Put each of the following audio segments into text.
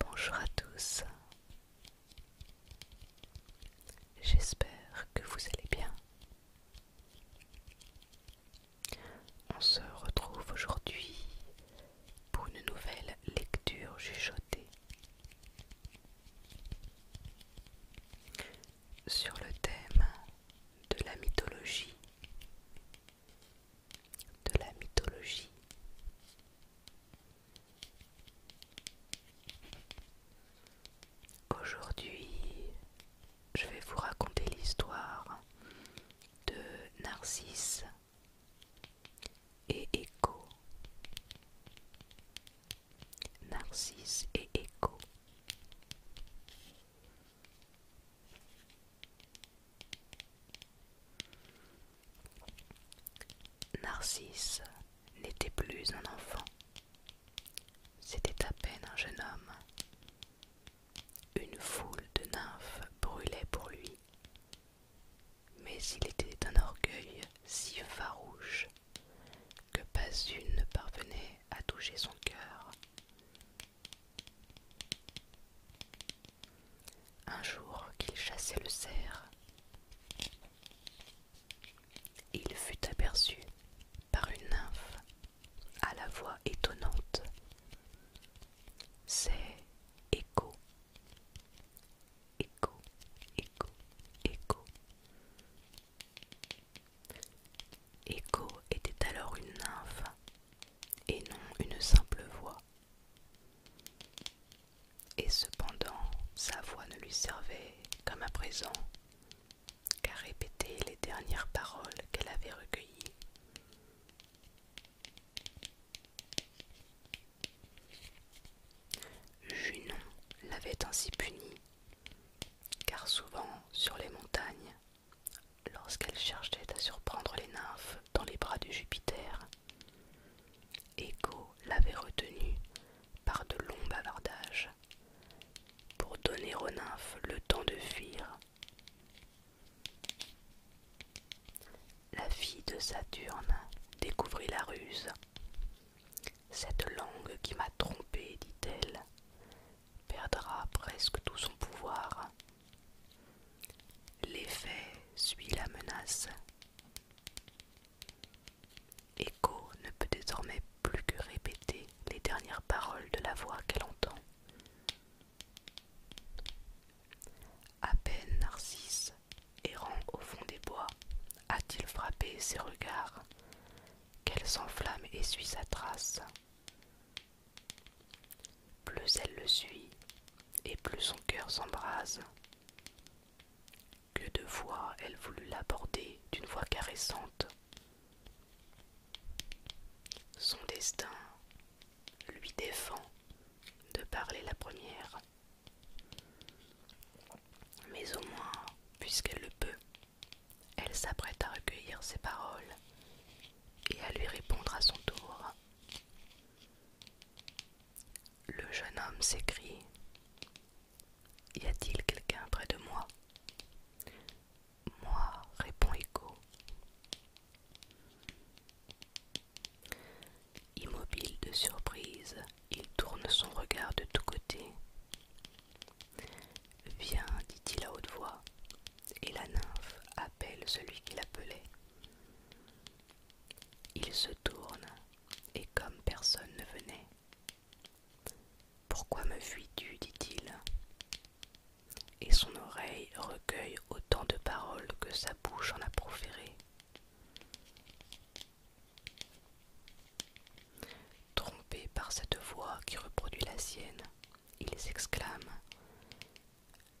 Bonjour à tous, j'espère que vous allez bien. On se retrouve aujourd'hui pour une nouvelle lecture chuchotée sur le thème de la mythologie de la mythologie. Aujourd'hui, je vais vous raconter l'histoire de Narcisse et Écho. Narcisse et Écho. Narcisse n'était plus un enfant, c'était à peine un jeune homme. Une foule de nymphes brûlait pour lui, mais il était d'un orgueil si farouche que pas une ne parvenait à toucher son cœur. Un jour qu'il chassait le cerf, il fut aperçu par une nymphe à la voix étonnante. C'est Echo Echo, Echo, Echo Echo était alors une nymphe et non une simple voix. Et cependant, sa voix ne lui servait, comme à présent, qu'à répéter les dernières paroles qu'elle avait recueillies. Junon l'avait ainsi puni, car souvent sur les montagnes, lorsqu'elle cherchait à surprendre les nymphes dans les bras de Jupiter. Écho l'avait retenue par de longs bavardages pour donner aux nymphes le temps de fuir. La fille de Saturne découvrit la ruse. Cette langue qui m'a trompée, dit-elle, perdra presque tout son pouvoir L'effet suit la menace. Echo ne peut désormais plus que répéter les dernières paroles de la voix qu'elle entend. À peine Narcisse, errant au fond des bois, a-t-il frappé ses regards, qu'elle s'enflamme et suit sa trace. Plus elle le suit, et plus son cœur s'embrase. Que de fois elle voulut l'aborder d'une voix caressante. Son destin lui défend de parler la première. Mais au moins, puisqu'elle le peut, elle s'apprête à recueillir ses paroles et à lui répondre à son tour. Le jeune homme s'écrie Y a-t-il quelqu'un près de moi Moi, répond Echo. Immobile de surprise, il tourne son regard de tous côtés. Viens, dit-il à haute voix, et la nymphe appelle celui qui l'appelait. Il se tourne, et comme personne ne venait, Pourquoi me fuis-tu dit-il. Et son oreille recueille autant de paroles que sa bouche en a proféré. Trompé par cette voix qui reproduit la sienne, ils s'exclame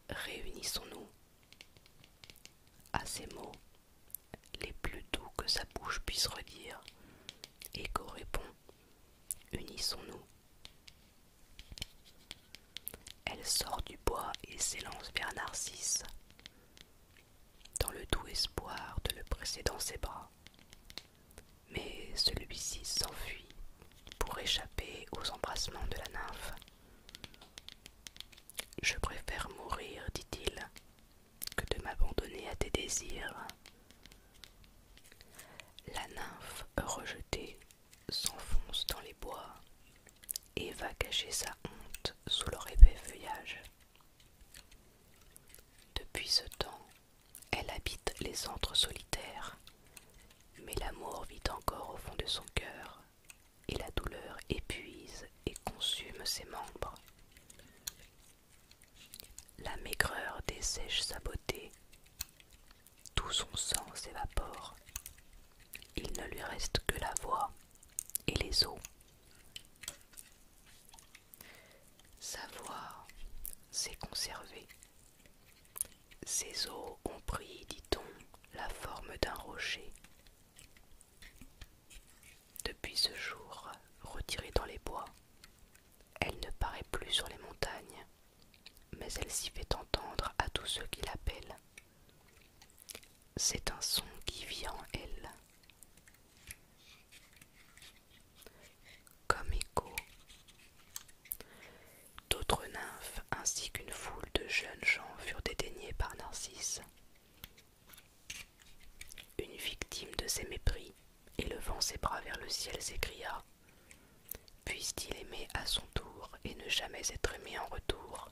Réunissons-nous. À ces mots, les plus doux que sa bouche puisse redire, et répond Unissons-nous. Elle sort du bois et s'élance vers Narcisse, dans le doux espoir de le presser dans ses bras mais celui-ci s'enfuit pour échapper aux embrassements de la nymphe. Je préfère mourir, dit-il, que de m'abandonner à tes désirs. La nymphe, rejetée, s'enfonce dans les bois et va cacher sa honte sous leur épais feuillage. Depuis ce temps, elle habite les antres solitaires, mais l'amour vit encore au fond de son cœur, et la douleur épuise et consume ses membres. La maigreur dessèche sa beauté, tout son sang s'évapore, il ne lui reste que la voix et les os. Sa voix s'est conservée ces eaux ont pris, dit-on, la forme d'un rocher. Depuis ce jour, retirée dans les bois, elle ne paraît plus sur les montagnes, mais elle s'y fait entendre à tous ceux qui l'appellent. C'est un son qui vient en elle comme écho. D'autres nymphes ainsi qu'une foule de jeunes gens furent dédaignés par Narcisse. Une victime de ses mépris, élevant ses bras vers le ciel, s'écria Puisse-t-il aimer à son tour et ne jamais être aimé en retour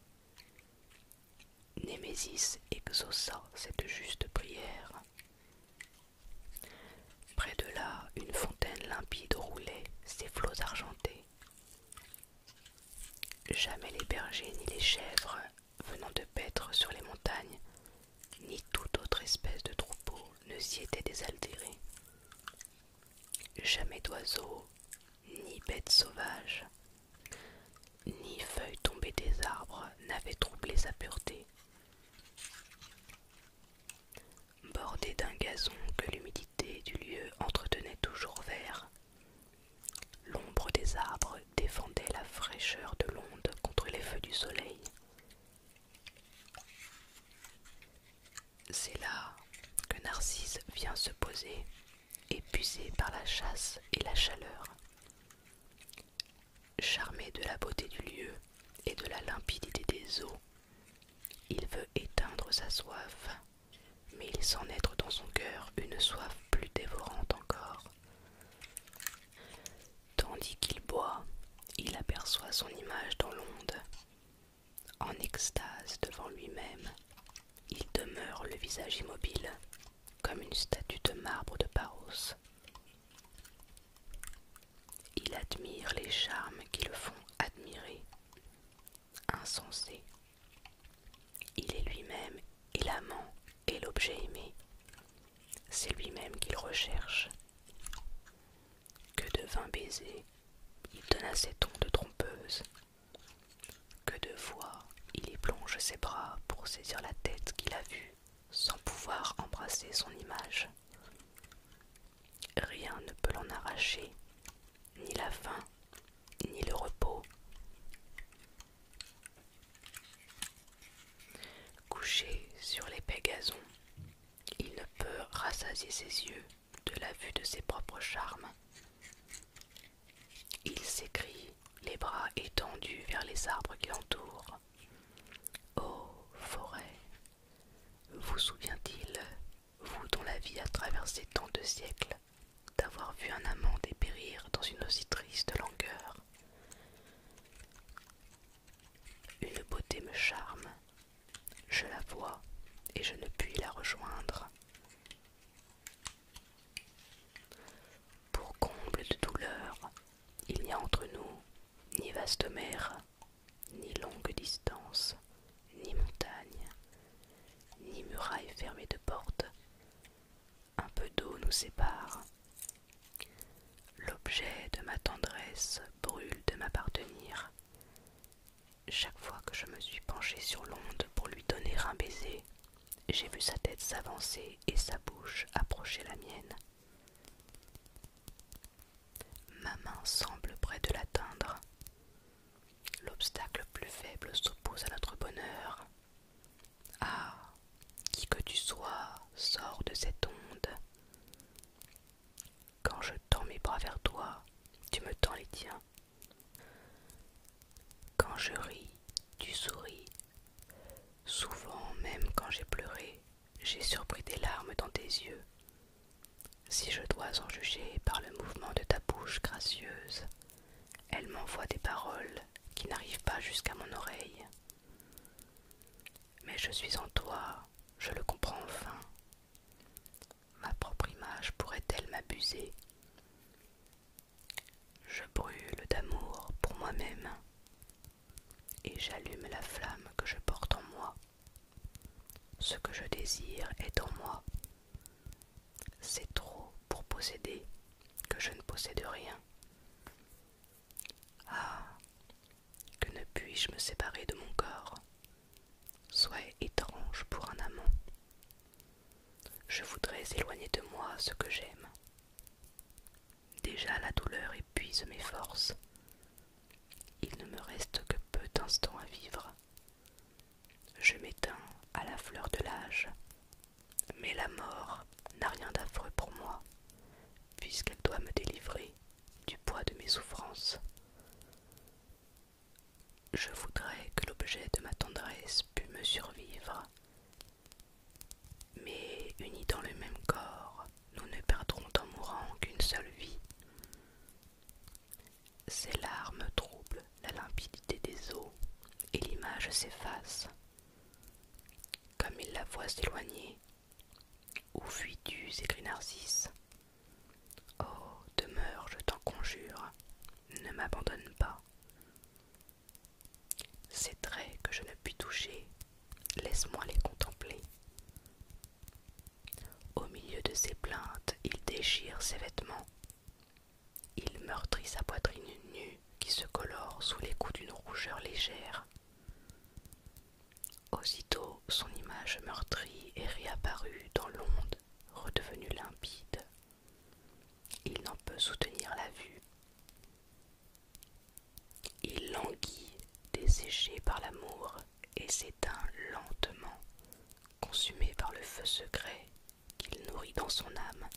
Némésis exauça cette juste prière Près de là, une fontaine limpide roulait ses flots argentés. Jamais les bergers ni les chèvres venant de paître sur les montagnes, ni toute autre espèce de troupeau ne s'y étaient désaltérés. Jamais d'oiseaux, ni bêtes sauvages, ni feuilles tombées des arbres n'avaient troublé sa pureté. Bordé d'un gazon que l'humidité du lieu entretenait toujours vert. L'ombre des arbres défendait la fraîcheur de l'onde contre les feux du soleil. C'est là que Narcisse vient se poser, épuisé par la chasse et la chaleur. Charmé de la beauté du lieu et de la limpidité des eaux, il veut éteindre sa soif, mais il sent naître dans son cœur une soif plus dévorante encore. Tandis qu'il boit, il aperçoit son image dans l'onde. En extase devant lui-même, il demeure le visage immobile, comme une statue de marbre de Paros. Il admire les charmes qui le font admirer. Insensé. Il est lui-même et l'amant et l'objet aimé. C'est lui-même qu'il recherche. Que de vains baisers, il donne à ses tons de trompeuse. Que de fois il y plonge ses bras pour saisir la tête qu'il a vue, sans pouvoir embrasser son image. Rien ne peut l'en arracher, ni la faim, ni le repos. Couché sur l'épais gazon, il ne peut rassasier ses yeux de la vue de ses propres charmes. Il sécrit, les bras étendus vers les arbres qui l'entourent. Ô forêt, vous souvient-il, vous dont la vie a traversé tant de siècles, d'avoir vu un amant dépérir dans une aussi triste langueur Une beauté me charme, je la vois et je ne puis la rejoindre. Pour comble de douleur, il n'y a entre nous ni vaste mer, ni longue distance, ni montagne, ni muraille fermée de portes. Un peu d'eau nous sépare. L'objet de ma tendresse brûle de m'appartenir. Chaque fois que je me suis penchée sur l'onde pour lui donner un baiser, j'ai vu sa tête s'avancer et sa bouche approcher la mienne. Ma main semble près de l'atteindre. L'obstacle plus faible s'oppose à notre bonheur. Ah, qui que tu sois, sors de cette onde. Quand je tends mes bras vers toi, tu me tends les tiens. Quand je ris, tu souris. Souvent, même quand j'ai pleuré, j'ai surpris des larmes dans tes yeux. Si je dois en juger par le mouvement de ta bouche gracieuse, elle m'envoie des paroles qui n'arrivent pas jusqu'à mon oreille. Mais je suis en toi, je le comprends enfin. Ma propre image pourrait-elle m'abuser Je brûle d'amour pour moi-même et j'allume la flamme que je porte en moi. Ce que je désire est en moi. C'est trop pour posséder que je ne possède rien. Ah, que ne puis-je me séparer de mon corps sois étrange pour un amant. Je voudrais éloigner de moi ce que j'aime. Déjà la douleur épuise mes forces. Il ne me reste que peu d'instants à vivre. Je m'éteins à la fleur de l'âge. Mais la mort n'a rien d'affreux pour moi, puisqu'elle doit me délivrer du poids de mes souffrances. Je voudrais que l'objet de ma tendresse pût me survivre, mais unis dans le même corps, nous ne perdrons en mourant qu'une seule vie. Ces larmes troublent la limpidité des eaux et l'image s'efface. Comme il la voit s'éloigner, où fuis-tu s'écrie Narcisse. Oh, demeure, je t'en conjure, ne m'abandonne pas. Ces traits que je ne puis toucher, laisse-moi les contempler. Au milieu de ses plaintes, il déchire ses vêtements. Il meurtrit sa poitrine nue qui se colore sous les coups d'une rougeur légère. Aussitôt, son image meurtrie est réapparue dans l'onde, redevenue limpide. Il n'en peut soutenir la vue. Il languit, desséché par l'amour, et s'éteint lentement, consumé par le feu secret qu'il nourrit dans son âme.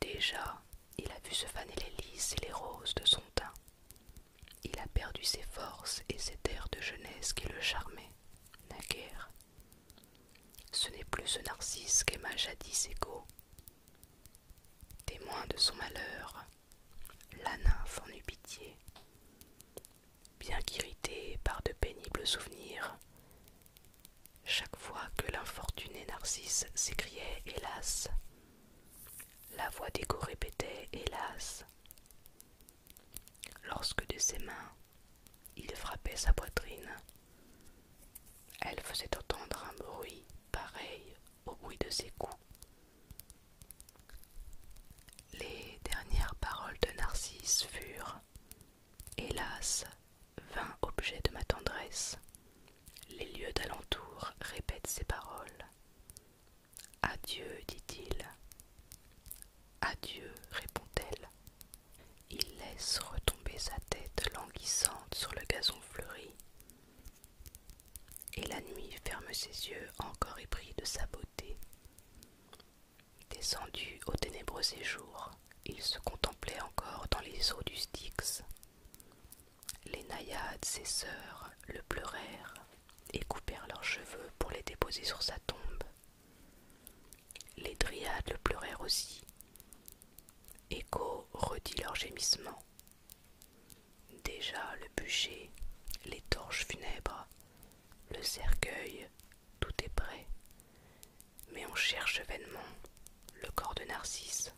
Déjà, il a vu se faner les lys et les roses de son teint. Il a perdu ses forces et cet air de jeunesse qui le charmait, naguère. Ce n'est plus ce narcisse qu'aima jadis Égo, Témoin de son malheur, la nymphe en eut pitié. Bien qu'irritée par de pénibles souvenirs, chaque fois que l'infortuné Narcisse s'écriait Hélas, la voix d'Égo répétait Hélas. Lorsque de ses mains il frappait sa poitrine, elle faisait entendre un bruit pareil au bruit de ses coups. Les dernières paroles de Narcisse furent Hélas, vingt objets de ma tendresse, les lieux d'alentour répètent ces paroles. Adieu, dit-il. Adieu, répond-elle. Il laisse retomber sa tête languissante sur le gazon fleuri. Et la nuit ferme ses yeux encore épris de sa beauté. Descendu au ténébreux séjour, il se contemplait encore dans les eaux du Styx. Les naïades, ses sœurs, le pleurèrent et coupèrent leurs cheveux pour les déposer sur sa tombe. Les dryades le pleurèrent aussi, Écho redit leur gémissement. Déjà le bûcher, les torches funèbres, le cercueil, tout est prêt. Mais on cherche vainement le corps de Narcisse.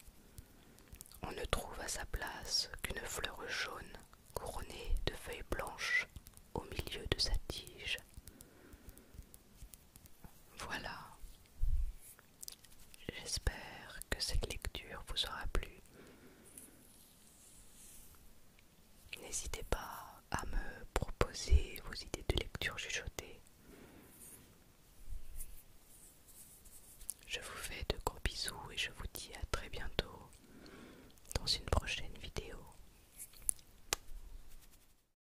On ne trouve à sa place qu'une fleur jaune couronnée de feuilles blanches au milieu de sa tige. Voilà. J'espère que cette lecture vous aura plu. N'hésitez pas à me proposer vos idées de lecture chuchotées Je vous fais de gros bisous et je vous dis à très bientôt dans une prochaine vidéo.